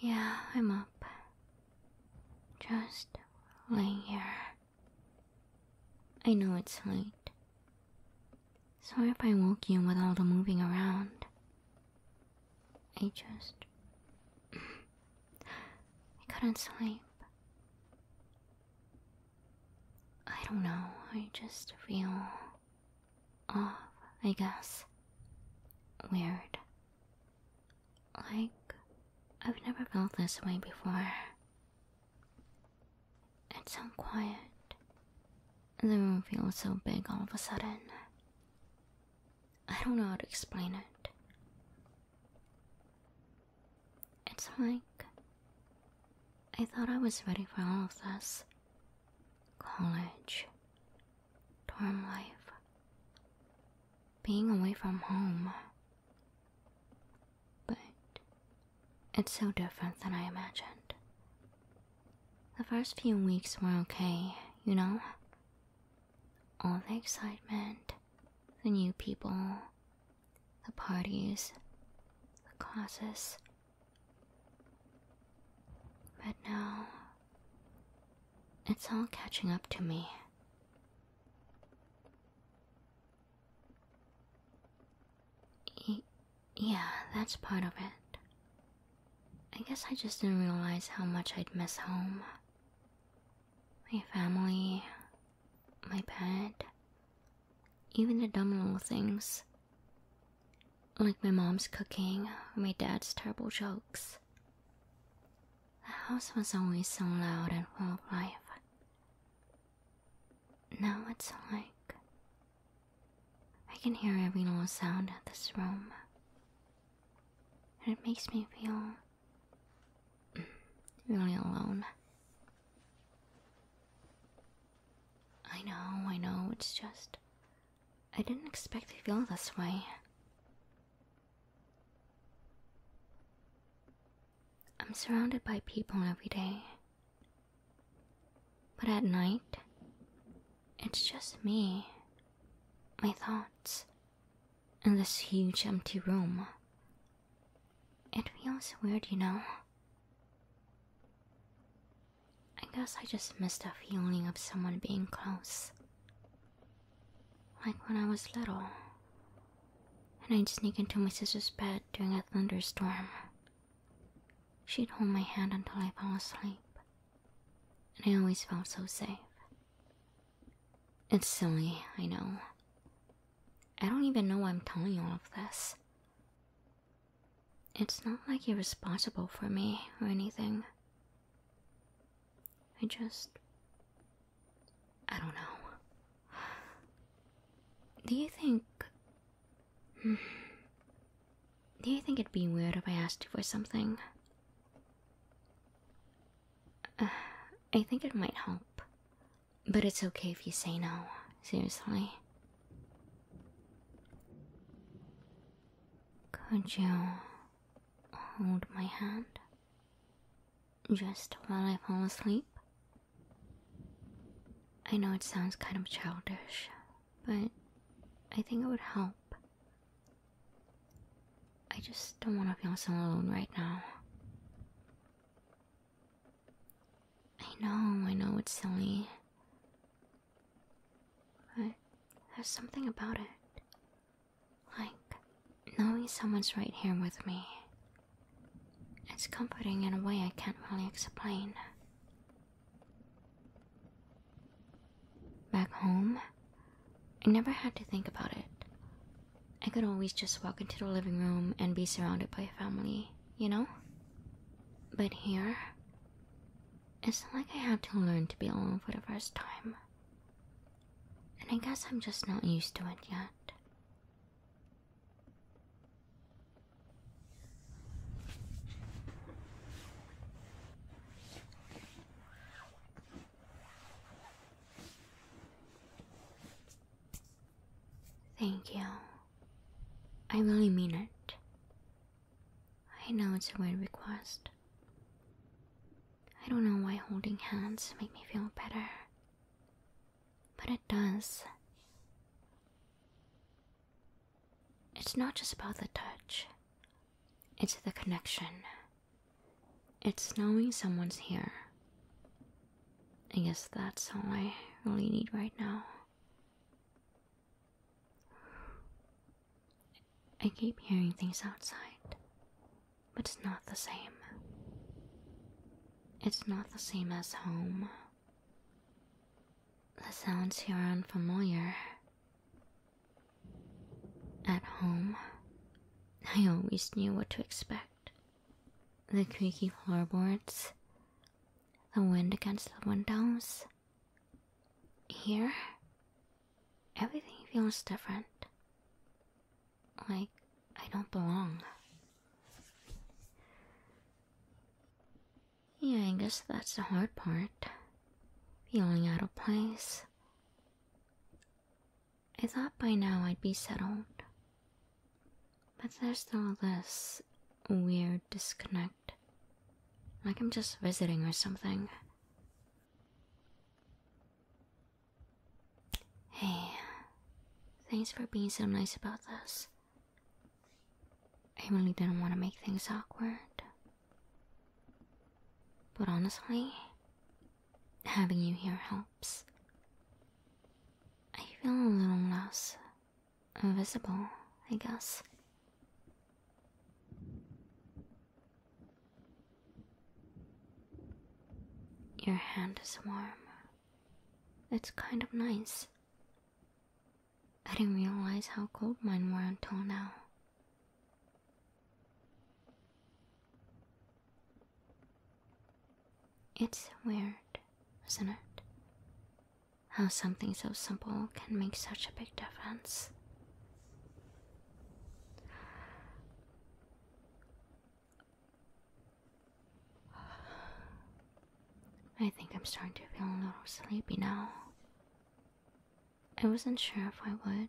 Yeah, I'm up. Just laying here. I know it's late. Sorry if I woke you with all the moving around. I just. I couldn't sleep. I don't know, I just feel off, I guess. Weird. Like, I've never felt this way before. It's so quiet. The room feels so big all of a sudden. I don't know how to explain it. It's like I thought I was ready for all of this college, dorm life, being away from home. But it's so different than I imagined. The first few weeks were okay, you know? All the excitement, the new people, the parties, the classes. But now, it's all catching up to me. yeah, that's part of it. I guess I just didn't realize how much I'd miss home my family, my pet, even the dumb little things. Like my mom's cooking or my dad's terrible jokes. The house was always so loud and full of life. Now it's like I can hear every little sound in this room. And it makes me feel you're only alone. I know, I know, it's just. I didn't expect to feel this way. I'm surrounded by people every day. But at night, it's just me, my thoughts, and this huge empty room it feels weird, you know? I guess I just miss the feeling of someone being close. Like when I was little. And I'd sneak into my sister's bed during a thunderstorm. She'd hold my hand until I fell asleep. And I always felt so safe. It's silly, I know. I don't even know why I'm telling you all of this. It's not like you're responsible for me or anything. I just. I don't know. Do you think. Hmm, do you think it'd be weird if I asked you for something? Uh, I think it might help. But it's okay if you say no, seriously. Could you hold my hand? Just while I fall asleep? I know it sounds kind of childish, but I think it would help. I just don't want to feel so alone right now. I know, I know it's silly. But there's something about it. Like, knowing someone's right here with me. It's comforting in a way I can't really explain. Back home, I never had to think about it. I could always just walk into the living room and be surrounded by family, you know? But here, it's like I have to learn to be alone for the first time. And I guess I'm just not used to it yet. Thank you. I really mean it. I know it's a weird request. I don't know why holding hands make me feel better. But it does. It's not just about the touch. It's the connection. It's knowing someone's here. I guess that's all I really need right now. I keep hearing things outside, but it's not the same. It's not the same as home. The sounds here are unfamiliar. At home, I always knew what to expect the creaky floorboards, the wind against the windows. Here, everything feels different. Like I don't belong. Yeah, I guess that's the hard part. Feeling out of place. I thought by now I'd be settled. But there's still this weird disconnect. Like I'm just visiting or something. Hey, thanks for being so nice about this. I really didn't want to make things awkward. But honestly, Having you here helps. I feel a little less invisible, I guess. Your hand is warm. It's kind of nice. I didn't realize how cold mine were until now. It's weird, isn't it? How something so simple can make such a big difference. I think I'm starting to feel a little sleepy now. I wasn't sure if I would,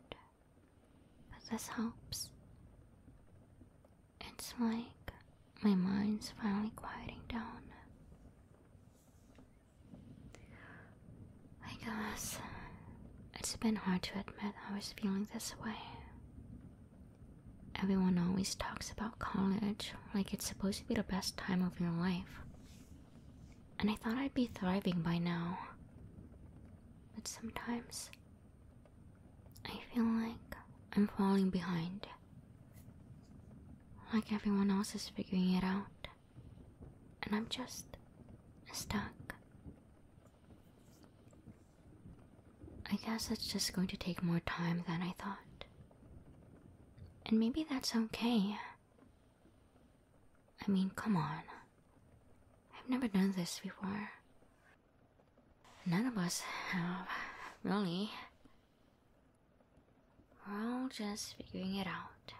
but this helps. It's like my mind's finally quieting down. I guess it's been hard to admit I was feeling this way. Everyone always talks about college like it's supposed to be the best time of your life. And I thought I'd be thriving by now. But sometimes I feel like I'm falling behind. Like everyone else is figuring it out. And I'm just stuck. I guess it's just going to take more time than I thought. And maybe that's okay. I mean, come on. I've never done this before. None of us have, really. We're all just figuring it out,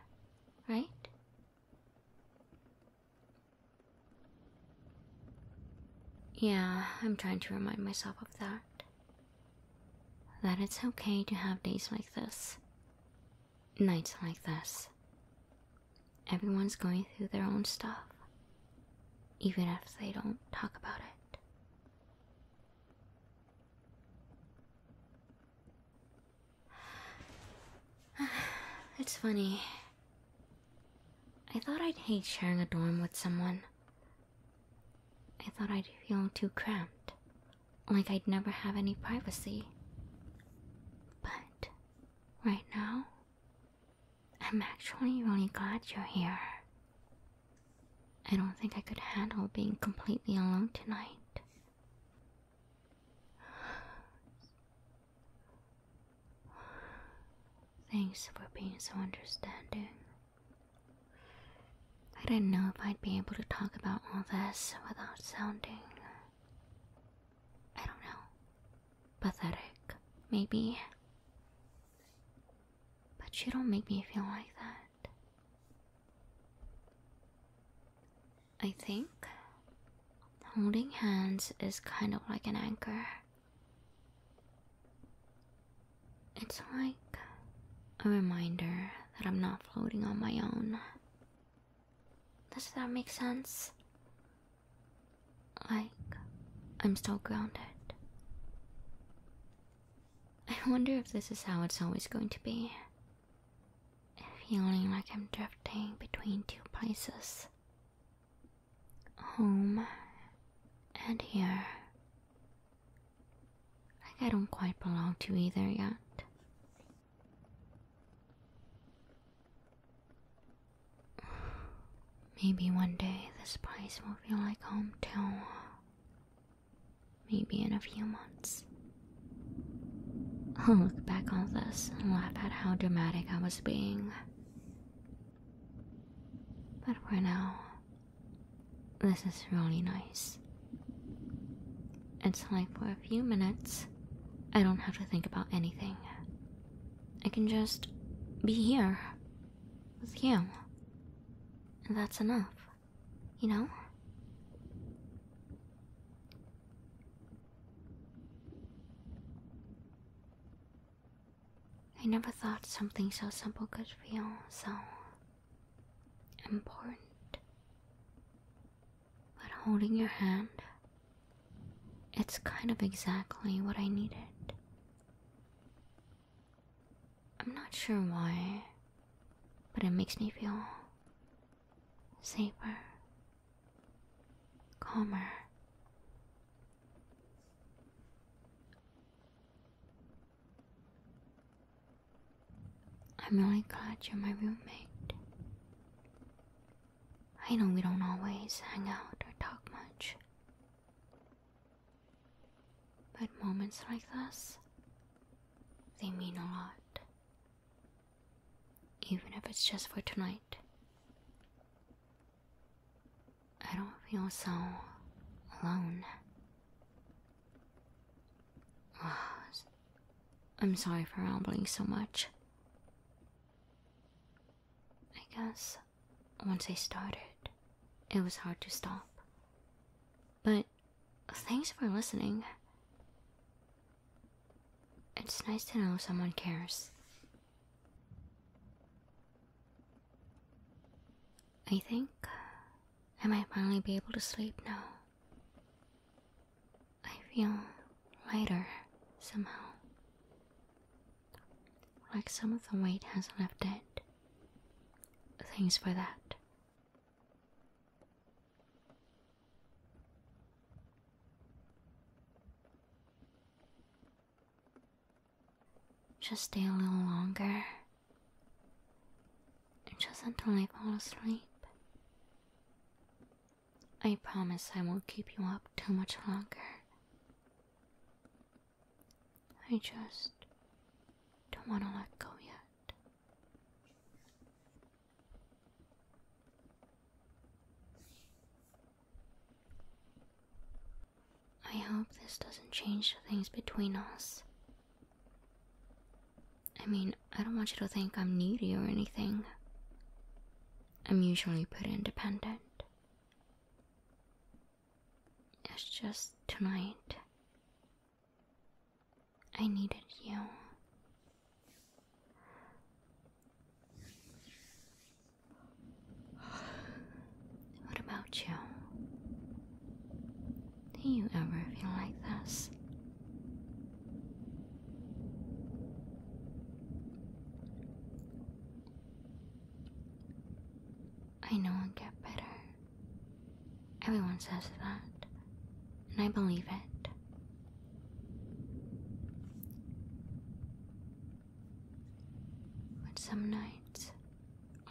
right? Yeah, I'm trying to remind myself of that. That it's okay to have days like this, nights like this, Everyone's going through their own stuff, even if they don't talk about it. It's funny. I thought I'd hate sharing a dorm with someone. I thought I'd feel too cramped, like I'd never have any privacy. But right now? I'm actually really glad you're here. I don't think I could handle being completely alone tonight. Thanks for being so understanding. I didn't know if I'd be able to talk about all this without sounding I don't know, pathetic, maybe. But you don't make me feel like that. I think holding hands is kind of like an anchor. It's like a reminder that I'm not floating on my own. Does that make sense? Like, I'm still grounded. I wonder if this is how it's always going to be. Feeling like I'm drifting between two places home and here. Like I don't quite belong to either yet. Maybe one day this place will feel like home to me. Maybe in a few months. I'll look back on this and laugh at how dramatic I was being. But for now, this is really nice. It's like for a few minutes, I don't have to think about anything. I can just be here with you. And that's enough, you know? I never thought something so simple could feel so important. But holding your hand, it's kind of exactly what I needed. I'm not sure why, but it makes me feel safer, calmer. I'm really glad you're my roommate. I know we don't always hang out or talk much. But moments like this, they mean a lot. Even if it's just for tonight. I don't feel so alone. I'm sorry for rambling so much. I guess once I started, it was hard to stop. But thanks for listening. It's nice to know someone cares. I think I might finally be able to sleep now. I feel lighter somehow. Like some of the weight has left it. Thanks for that. Just stay a little longer. Just until I fall asleep. I promise I won't keep you up too much longer. I just don't want to let go yet. I hope this doesn't change things between us. I mean, I don't want you to think I'm needy or anything. I'm usually pretty independent. It's just tonight. I needed you. What about you? Do you ever feel like this? I know i get better. Everyone says that, and I believe it. But some nights,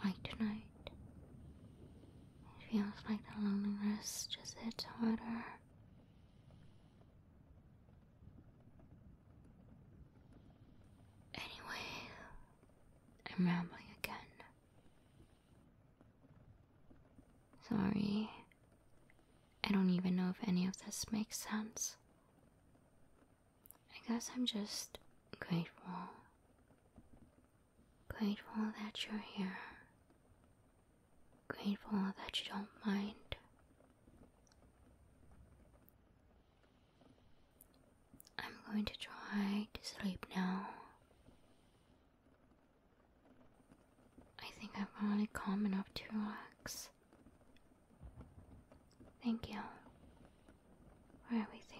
like tonight, it feels like the loneliness just hits harder. Anyway, I'm rambling again. Sorry, I don't even know if any of this makes sense. I guess I'm just grateful Grateful that you're here. Grateful that you don't mind. I'm going to try to sleep now. I think I'm finally calm enough to relax. Thank you for everything.